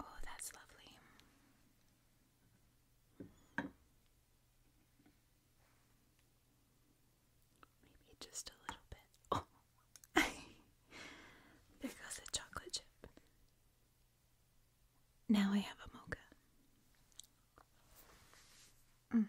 Oh, that's lovely. Maybe just a little bit. Oh, there goes a chocolate chip. Now I have a mocha. Mm.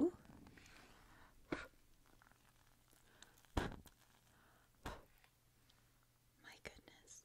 Ooh. My goodness.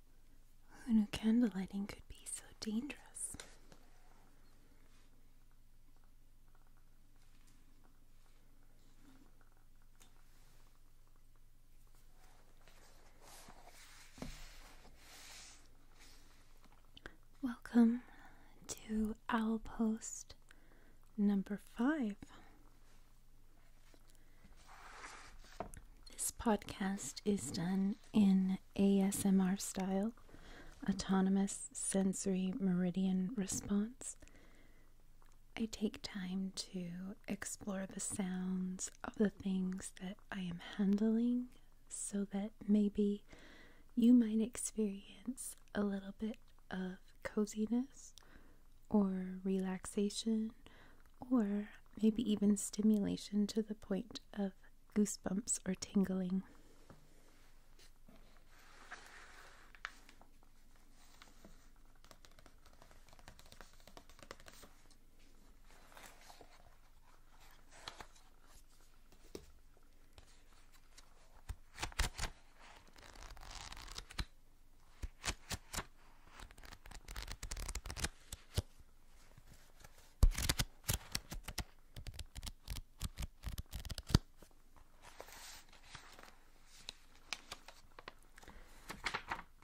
Who knew candle lighting could be so dangerous? Welcome to Owl Post number five. This podcast is done in ASMR style autonomous sensory meridian response. I take time to explore the sounds of the things that I am handling so that maybe you might experience a little bit of coziness or relaxation or maybe even stimulation to the point of goosebumps or tingling.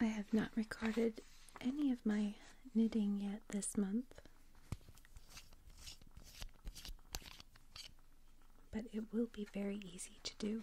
I have not recorded any of my knitting yet this month, but it will be very easy to do.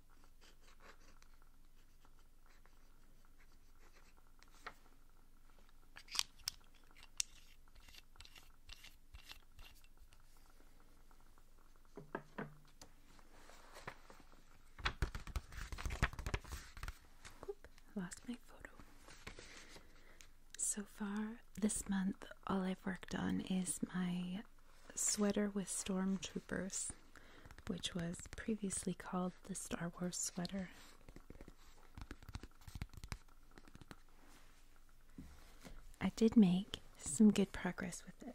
lost my photo. So far this month, all I've worked on is my sweater with stormtroopers which was previously called the Star Wars sweater. I did make some good progress with it.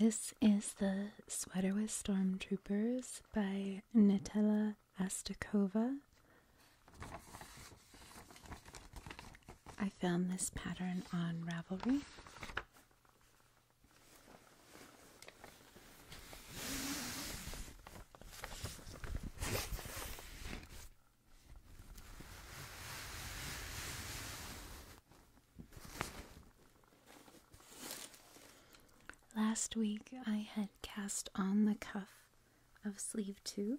This is the Sweater with Stormtroopers by Nutella Astakova. I found this pattern on Ravelry. Last week I had cast on the cuff of sleeve two.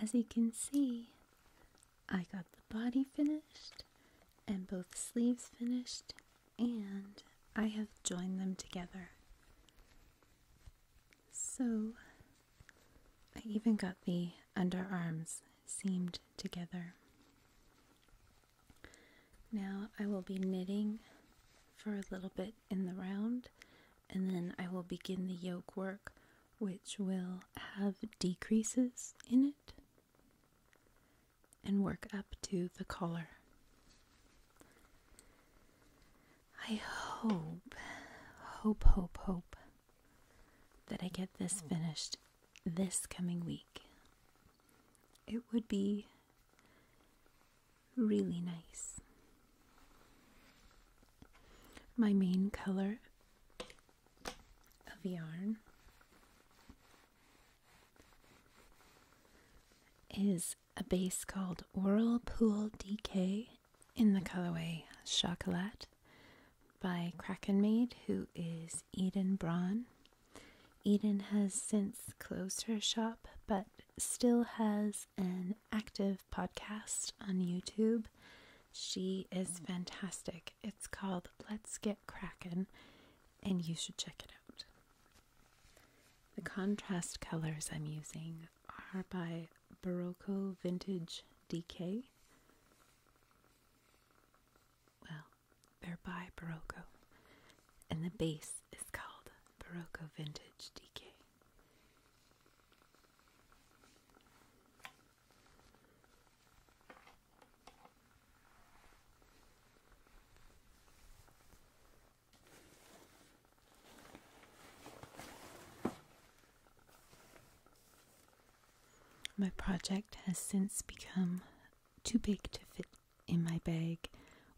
As you can see, I got the body finished and both sleeves finished and I have joined them together. So I even got the underarms seamed together. Now I will be knitting for a little bit in the round and then I will begin the yoke work which will have decreases in it and work up to the collar. I hope, hope, hope, hope that I get this oh. finished this coming week. It would be really nice. My main color of yarn is a base called Whirlpool DK in the colorway Chocolat by Kraken Krakenmaid, who is Eden Braun. Eden has since closed her shop but still has an active podcast on YouTube. She is fantastic. It's called Let's Get Kraken, and you should check it out. The contrast colors I'm using are by Barocco Vintage DK. Well, they're by Barocco, and the base is called Barocco Vintage DK. My project has since become too big to fit in my bag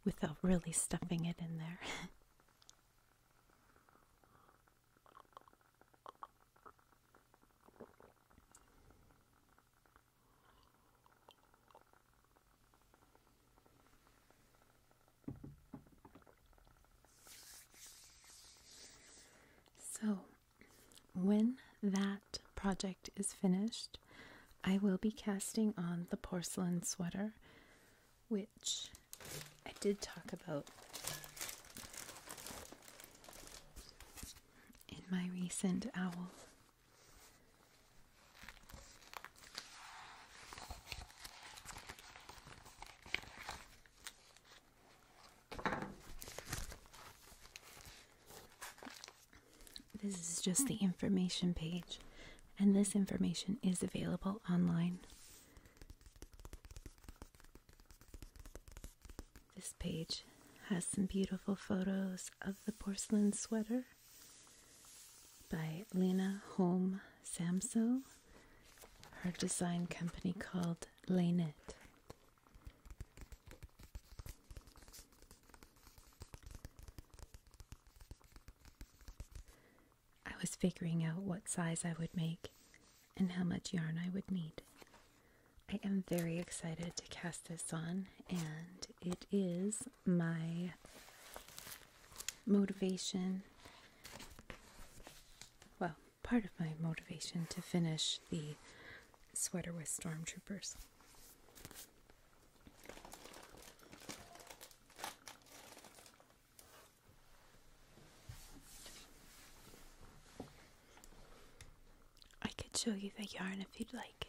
without really stuffing it in there. so when that project is finished, I will be casting on the porcelain sweater, which I did talk about in my recent owl. This is just the information page, and this information is available online. This page has some beautiful photos of the porcelain sweater by Lena Holm Samso, her design company called Lanet. I was figuring out what size I would make and how much yarn I would need. I am very excited to cast this on, and it is my motivation. Well, part of my motivation to finish the sweater with stormtroopers. I could show you the yarn if you'd like.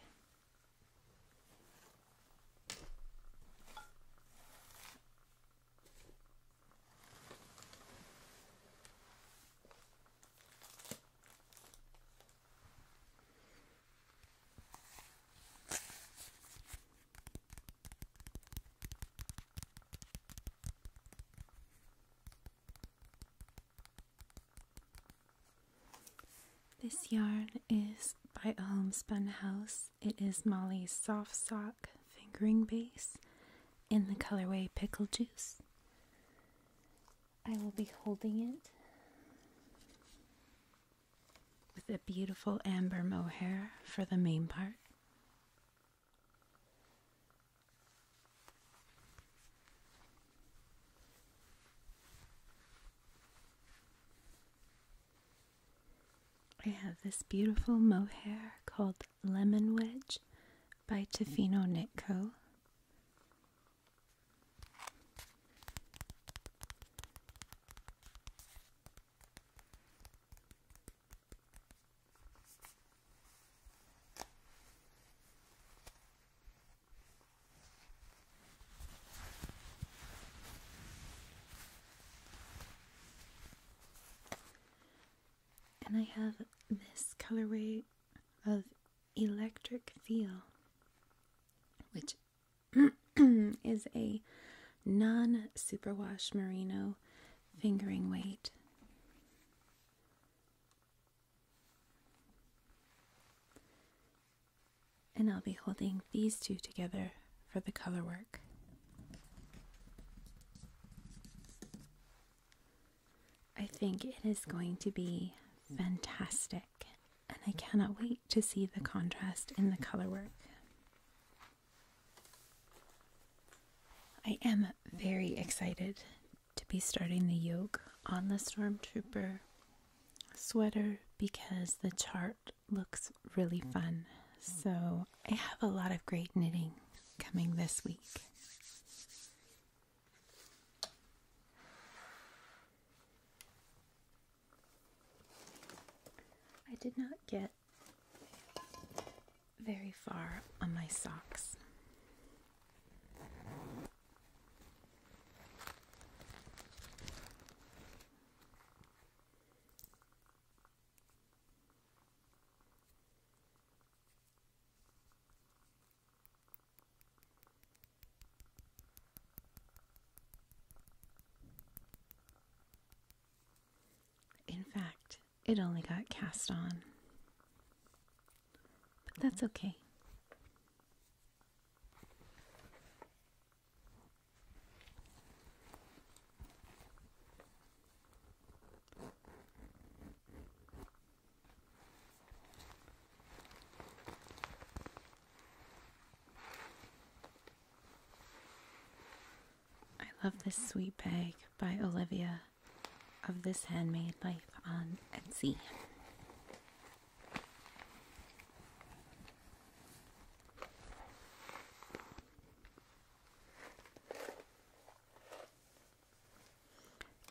This yarn is by a homespun house. It is Molly's soft sock fingering base in the colorway pickle juice. I will be holding it with a beautiful amber mohair for the main part. I have this beautiful mohair called Lemon Wedge by Tofino Nitko. And I have this colorway of electric feel, which is a non superwash merino fingering weight. And I'll be holding these two together for the color work. I think it is going to be fantastic, and I cannot wait to see the contrast in the color work. I am very excited to be starting the yoke on the Stormtrooper sweater because the chart looks really fun. So I have a lot of great knitting coming this week. I did not get very far on my socks. In fact, it only got cast on. But that's okay. I love this sweet bag by Olivia of This Handmade Life on Etsy.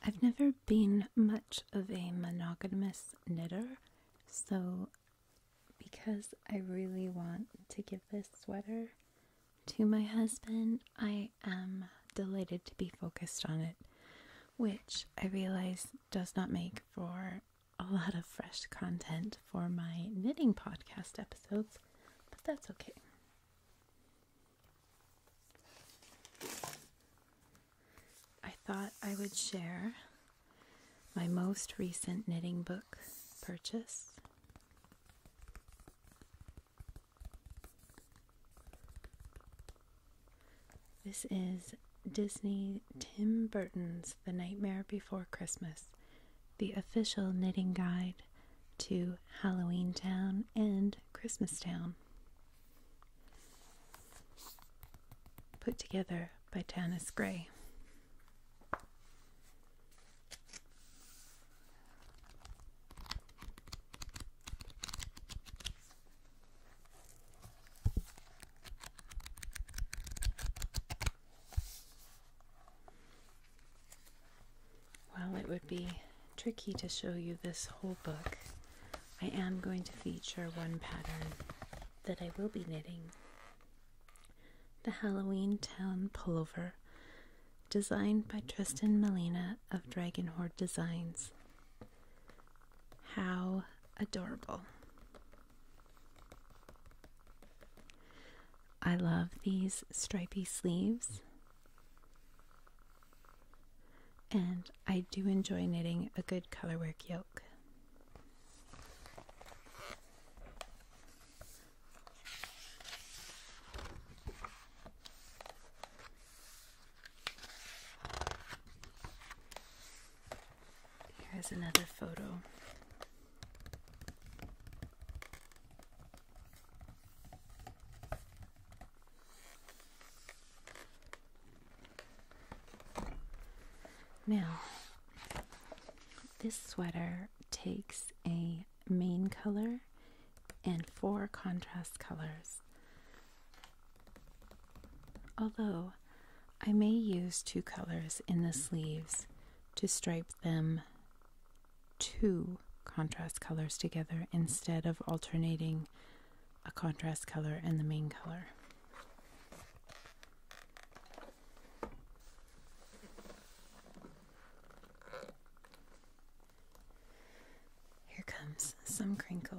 I've never been much of a monogamous knitter, so because I really want to give this sweater to my husband, I am delighted to be focused on it, which I realize does not make for a lot of fresh content for my knitting podcast episodes, but that's okay. I thought I would share my most recent knitting book purchase. This is Disney Tim Burton's The Nightmare Before Christmas, the official knitting guide to Halloween Town and Christmas Town. Put together by Tanis Gray. Well, it would be tricky to show you this whole book. I am going to feature one pattern that I will be knitting. The Halloween Town Pullover, designed by Tristan Melina of Dragon Horde Designs. How adorable! I love these stripey sleeves. And I do enjoy knitting a good colorwork yoke. Here's another photo. Now, this sweater takes a main color and four contrast colors. Although I may use two colors in the sleeves to stripe them two contrast colors together instead of alternating a contrast color and the main color. Here comes some crinkle.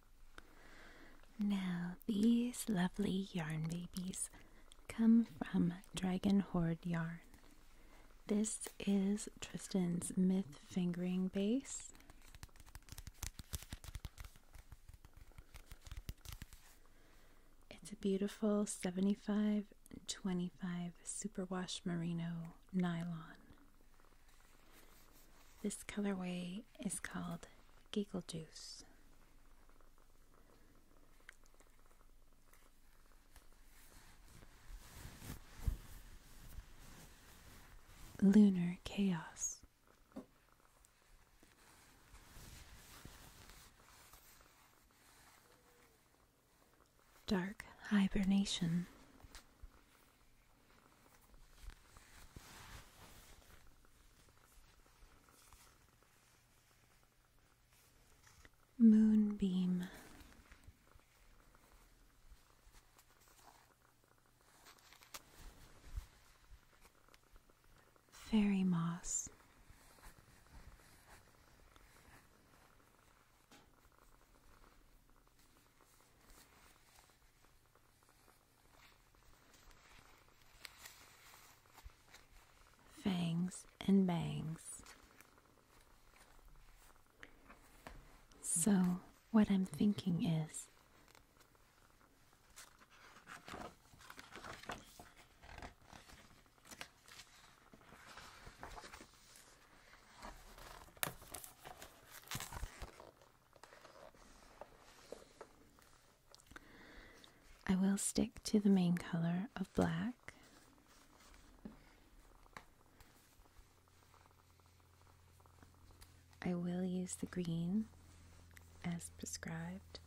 Now, these lovely yarn babies come from Dragon Horde Yarn. This is Tristan's Myth Fingering Base. It's a beautiful 75 25 superwash merino nylon. This colorway is called Giggle Juice. Lunar Chaos. Dark Hibernation. Moonbeam. Fairy moss. Fangs and bangs. So, what I'm thinking is I will stick to the main color of black. I will use the green as prescribed.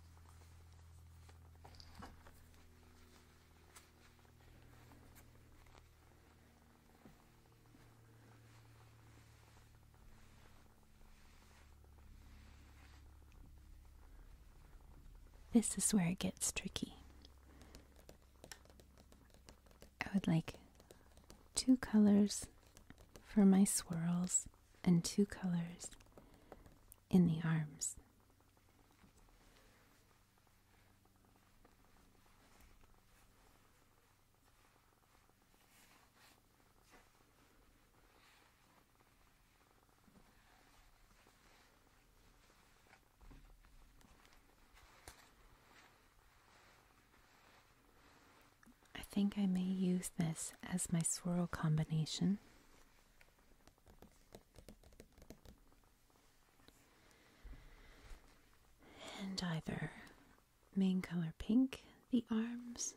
This is where it gets tricky. I would like two colors for my swirls and two colors in the arms. I think I may use this as my swirl combination. And either main color pink, the arms.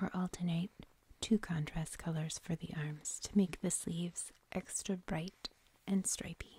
Or alternate two contrast colors for the arms to make the sleeves extra bright and stripy.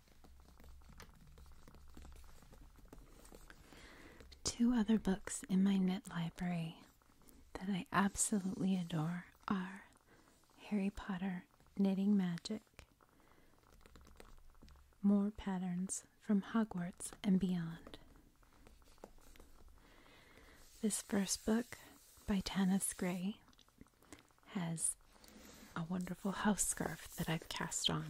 Two other books in my knit library that I absolutely adore are Harry Potter Knitting Magic, More Patterns from Hogwarts and Beyond. This first book by Tanis Gray has a wonderful house scarf that I've cast on.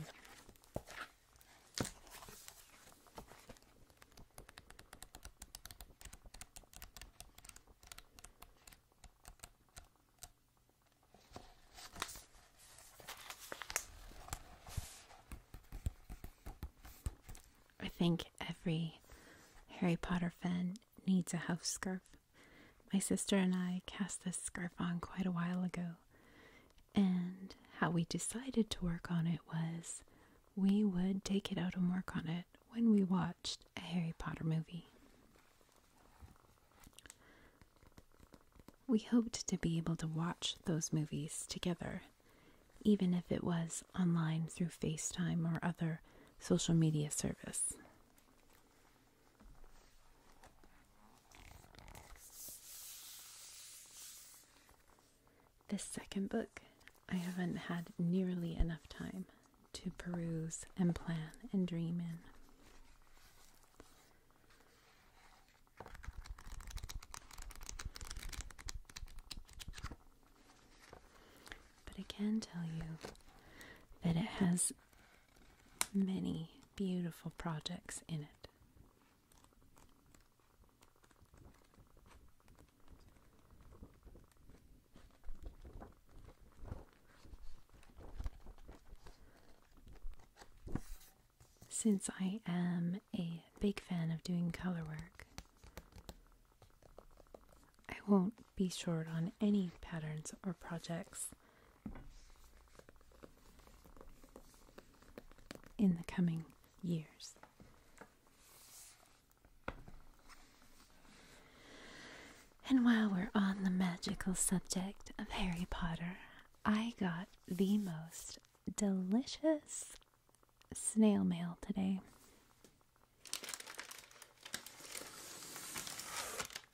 I think every Harry Potter fan needs a house scarf. My sister and I cast this scarf on quite a while ago. And how we decided to work on it was we would take it out and work on it when we watched a Harry Potter movie. We hoped to be able to watch those movies together, even if it was online through FaceTime or other social media service. This second book, I haven't had nearly enough time to peruse and plan and dream in. But I can tell you that it has many beautiful projects in it. Since I am a big fan of doing color work, I won't be short on any patterns or projects in the coming years. And while we're on the magical subject of Harry Potter, I got the most delicious snail mail today. How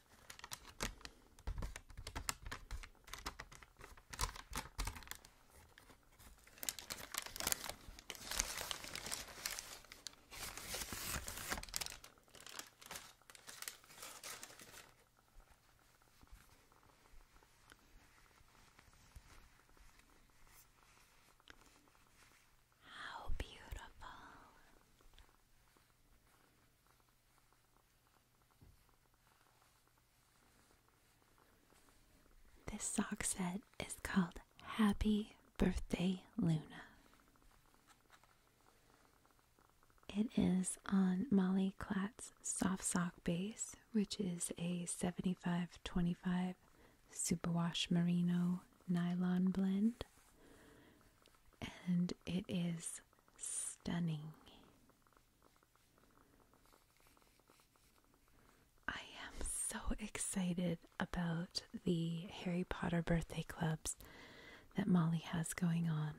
beautiful. This sock set is called Happy Birthday Luna. It is on Molly Klatt's soft sock base, which is a 75-25 superwash merino nylon blend. And it is stunning. I am so excited about the Harry Potter birthday clubs that Molly has going on.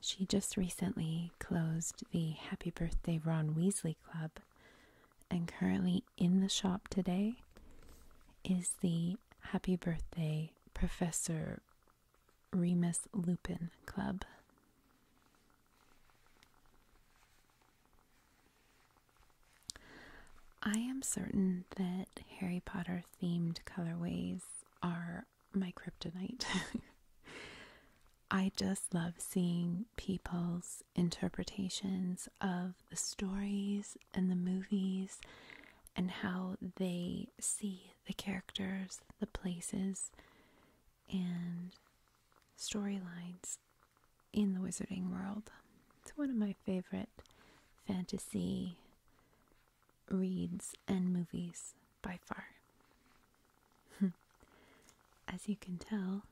She just recently closed the Happy Birthday Ron Weasley Club, and currently in the shop today is the Happy Birthday Professor Remus Lupin Club. I am certain that Harry Potter themed colorways are my kryptonite. I just love seeing people's interpretations of the stories and the movies and how they see the characters, the places, and storylines in the wizarding world. It's one of my favorite fantasy reads and movies by far. As you can tell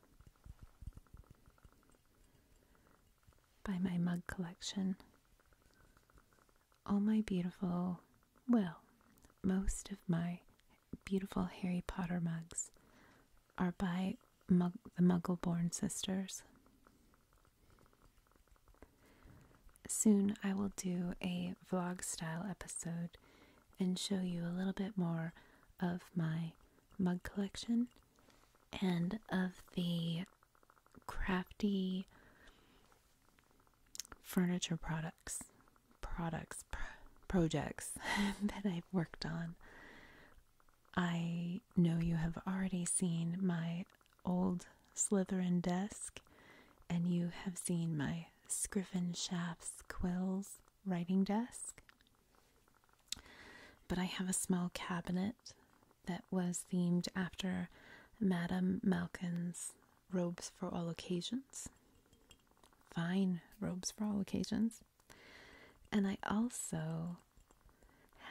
by my mug collection. All my beautiful, well, most of my beautiful Harry Potter mugs are by the Muggleborn Sisters. Soon I will do a vlog style episode and show you a little bit more of my mug collection and of the crafty furniture products, products, projects that I've worked on. I know you have already seen my old Slytherin desk, and you have seen my Scriven Shafts Quills writing desk. But I have a small cabinet that was themed after Madame Malkin's robes for all occasions. Fine robes for all occasions. And I also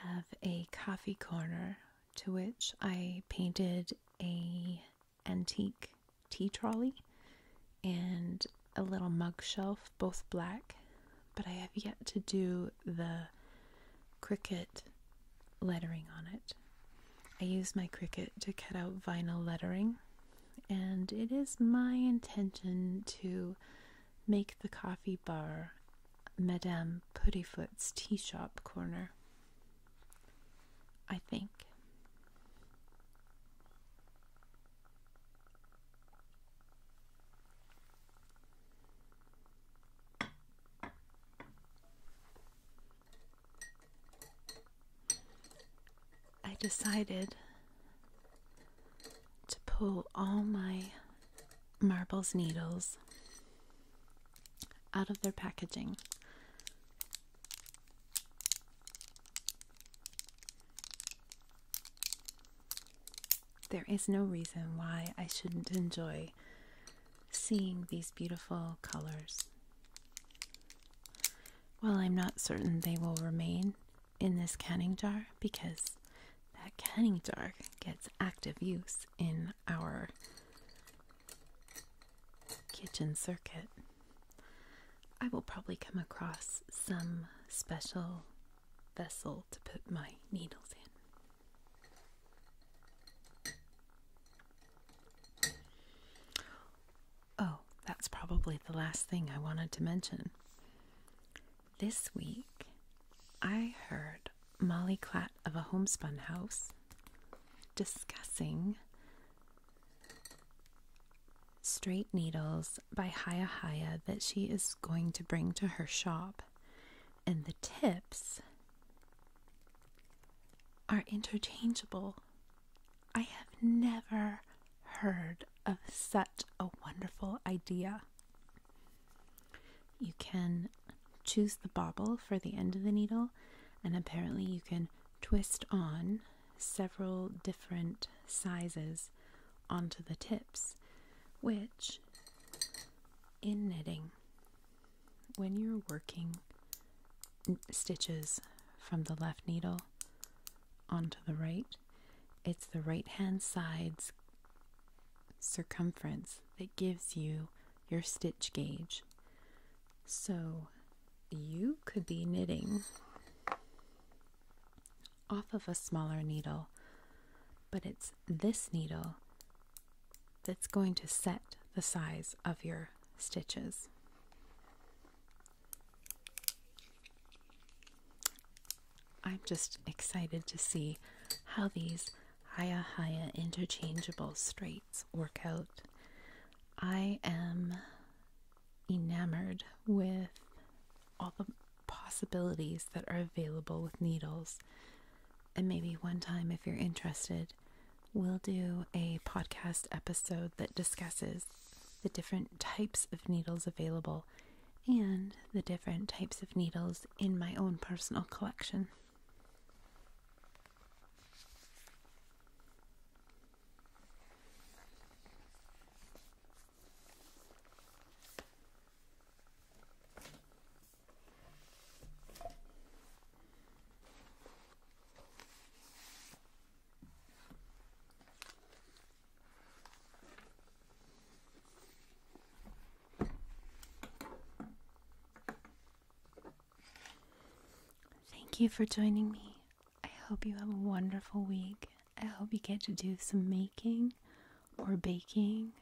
have a coffee corner to which I painted a antique tea trolley and a little mug shelf, both black but I have yet to do the cricket lettering on it. I use my Cricut to cut out vinyl lettering, and it is my intention to make the coffee bar Madame Puttyfoot's tea shop corner. I think. I decided to pull all my marbles needles out of their packaging there is no reason why I shouldn't enjoy seeing these beautiful colors. Well, I'm not certain they will remain in this canning jar because that canning jar gets active use in our kitchen circuit, I will probably come across some special vessel to put my needles in. Oh, that's probably the last thing I wanted to mention. This week, I heard Molly Clatt of a Homespun House discussing straight needles by Haya Haya that she is going to bring to her shop and the tips are interchangeable. I have never heard of such a wonderful idea. You can choose the bobble for the end of the needle, and apparently, you can twist on several different sizes onto the tips, which in knitting, when you're working stitches from the left needle onto the right, it's the right hand side's circumference that gives you your stitch gauge. So you could be knitting off of a smaller needle, but it's this needle that's going to set the size of your stitches. I'm just excited to see how these Haya Haya interchangeable straights work out. I am enamored with all the possibilities that are available with needles. And maybe one time, if you're interested, we'll do a podcast episode that discusses the different types of needles available and the different types of needles in my own personal collection. Thank you for joining me. I hope you have a wonderful week. I hope you get to do some making or baking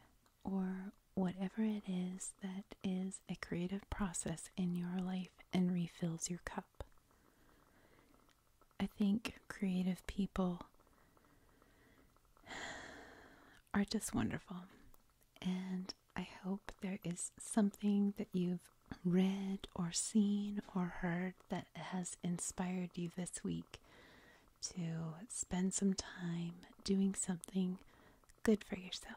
or whatever it is that is a creative process in your life and refills your cup. I think creative people are just wonderful. And I hope there is something that you've read or seen or heard that has inspired you this week to spend some time doing something good for yourself.